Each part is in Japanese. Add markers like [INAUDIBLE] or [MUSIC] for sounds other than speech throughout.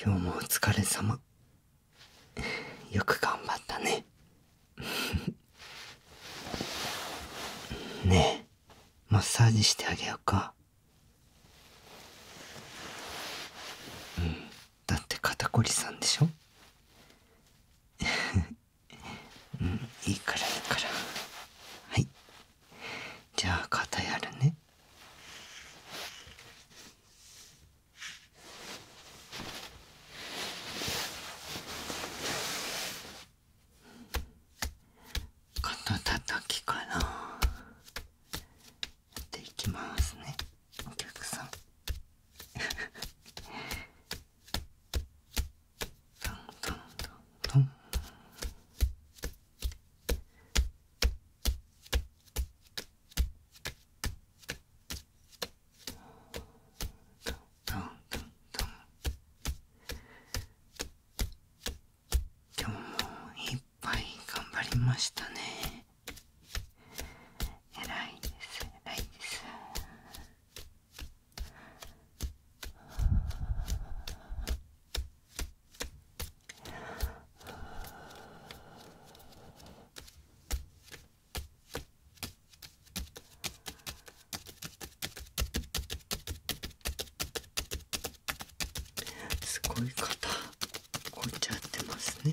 今日もお疲れ様よく頑張ったね [LAUGHS] ねえマッサージしてあげようかうんだって肩こりさんでしょ [LAUGHS] うんいいからいいからはいじゃあ肩やるね肩たたきからやっていきますねお客さんトントントントントントントン今日もいっぱい頑張りましたね偉いです偉いですすごい方。こっちゃってますね。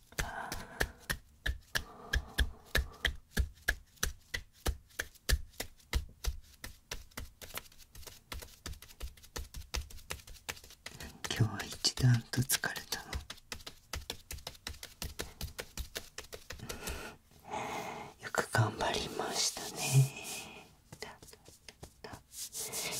ああ。今日は一段と疲れたのよく頑張りましたねよしよしよし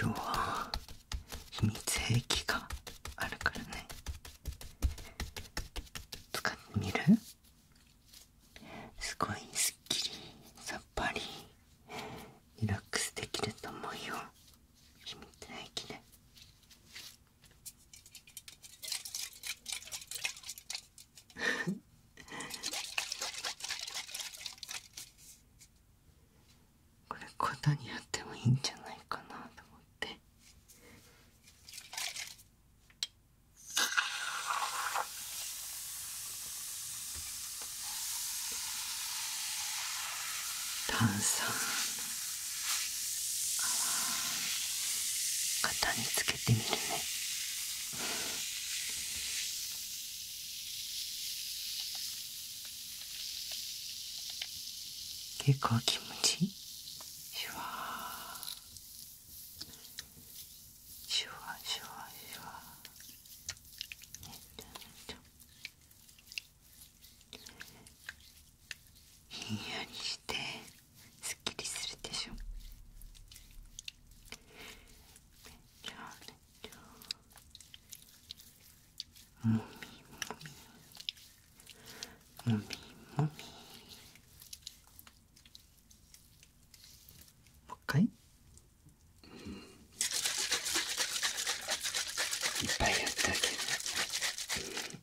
今日は秘密兵があるからね使っみるすごいすっきりさっぱりリラックスできると思うよ秘密兵で。[LAUGHS] これことにやってもいいんじゃないかなと思って炭酸。肩につけてみるね結構気持ちいいシュワーシュワシュワシュワねちょちょひんやりしてすっきりするでしょもみもみもみもみもう一回、いっぱいやったけど、うん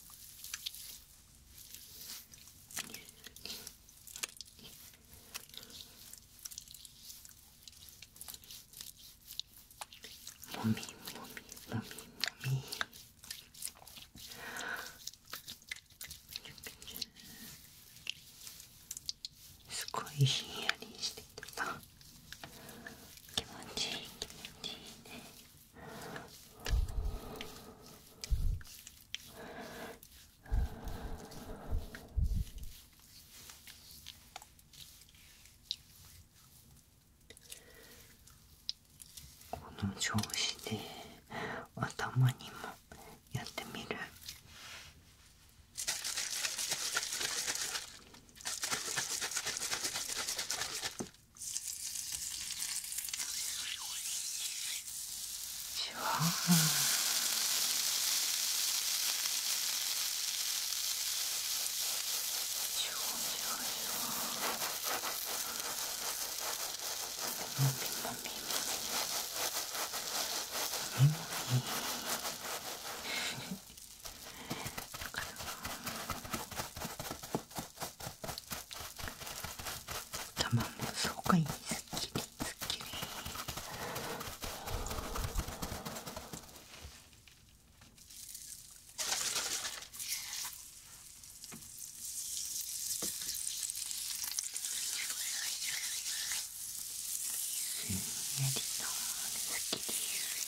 もみもみもみすごいひんやりしててさ。気持ちいい気持ちいいねこの調子で頭にもやってみる。じわじわ頭もすごくいいすっきりすっきりすんやりとすっきり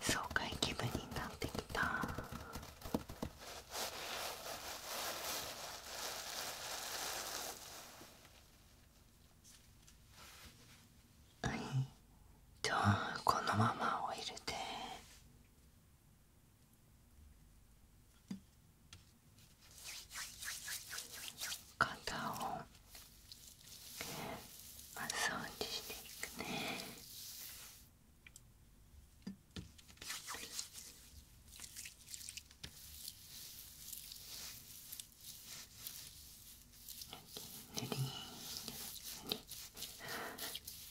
爽快気分になってきた。はい、じゃあこのままおいルて。肩をマッサしていくねぬりぬりぬり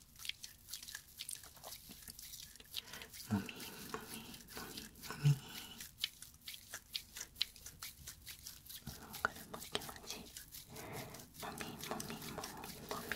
もみもみもみもみおからも気持ちいいもみもみもみもみ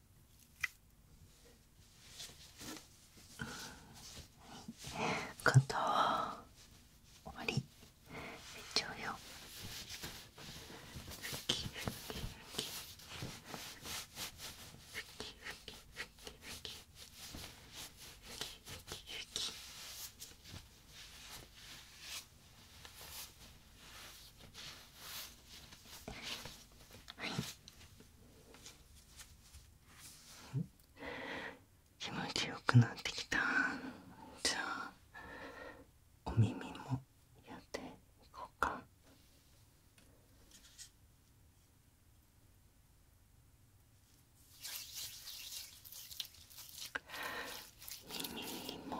肩は終わりめっよふきふきふきふきふきふきふきふきふきはい気持ちよくなってきたじゃあお耳もやっていこうか耳も。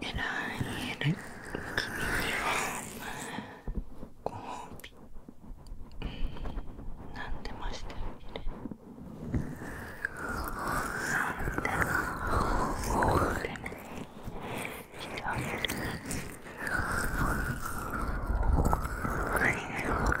偉い偉い君にはご褒美何でもしてあげる何でも何でもしてあげる何が何が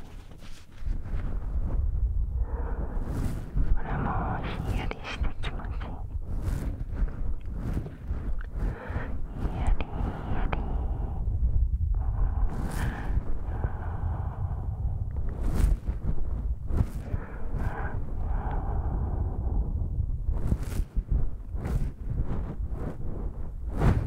これもひんやりして気持ちいいひんやりひやり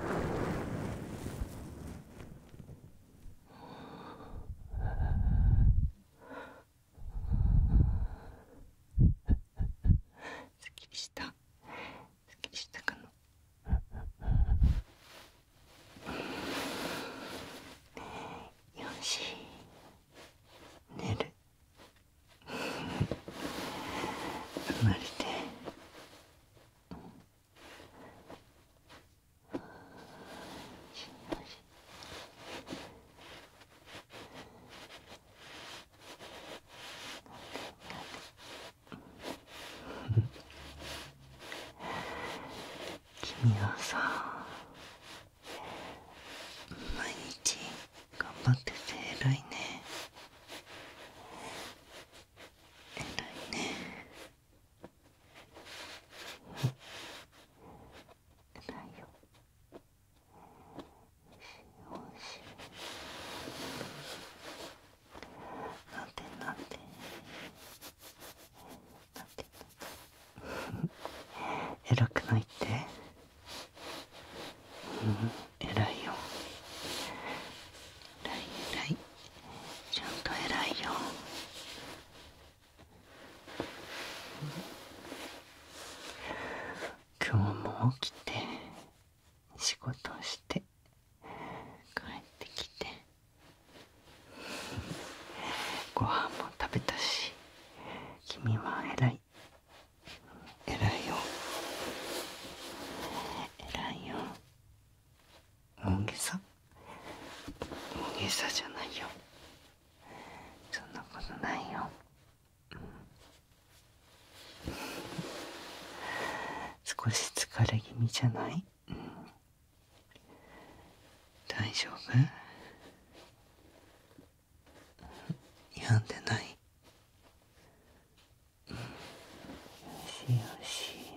すっきりしたすっきりしたかなよし寝る生まれて君はさ毎日頑張ってて偉いね偉いね偉いよおいしいおいしいなんてなんてなんてなんて偉くないってうん偉いよ偉い偉いちゃんと偉いよ今日も起きて仕事して帰ってきてご飯も食べたし君は偉い偉いよ偉いよ大げさ大げさじゃないよそんなことないよ、少し疲れ気味じゃない、大丈夫病んでないしよし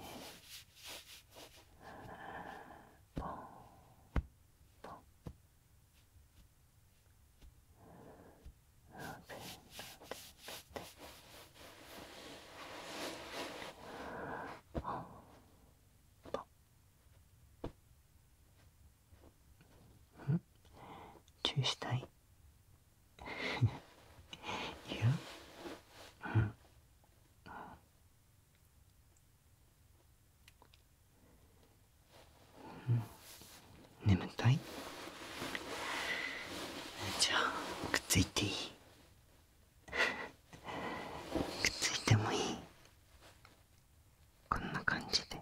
ポンポンポンポンうん注意したい [LAUGHS] いやうん眠たいじゃあくっついていい [LAUGHS] くっついてもいいこんな感じで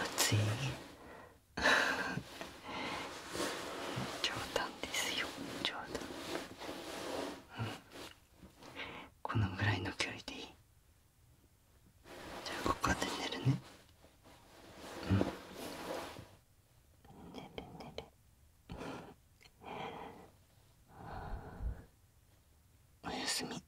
熱い冗談ですよ冗談、うん、このぐらいの距離でいいじゃあここで寝るねうん寝る寝るおやすみうん。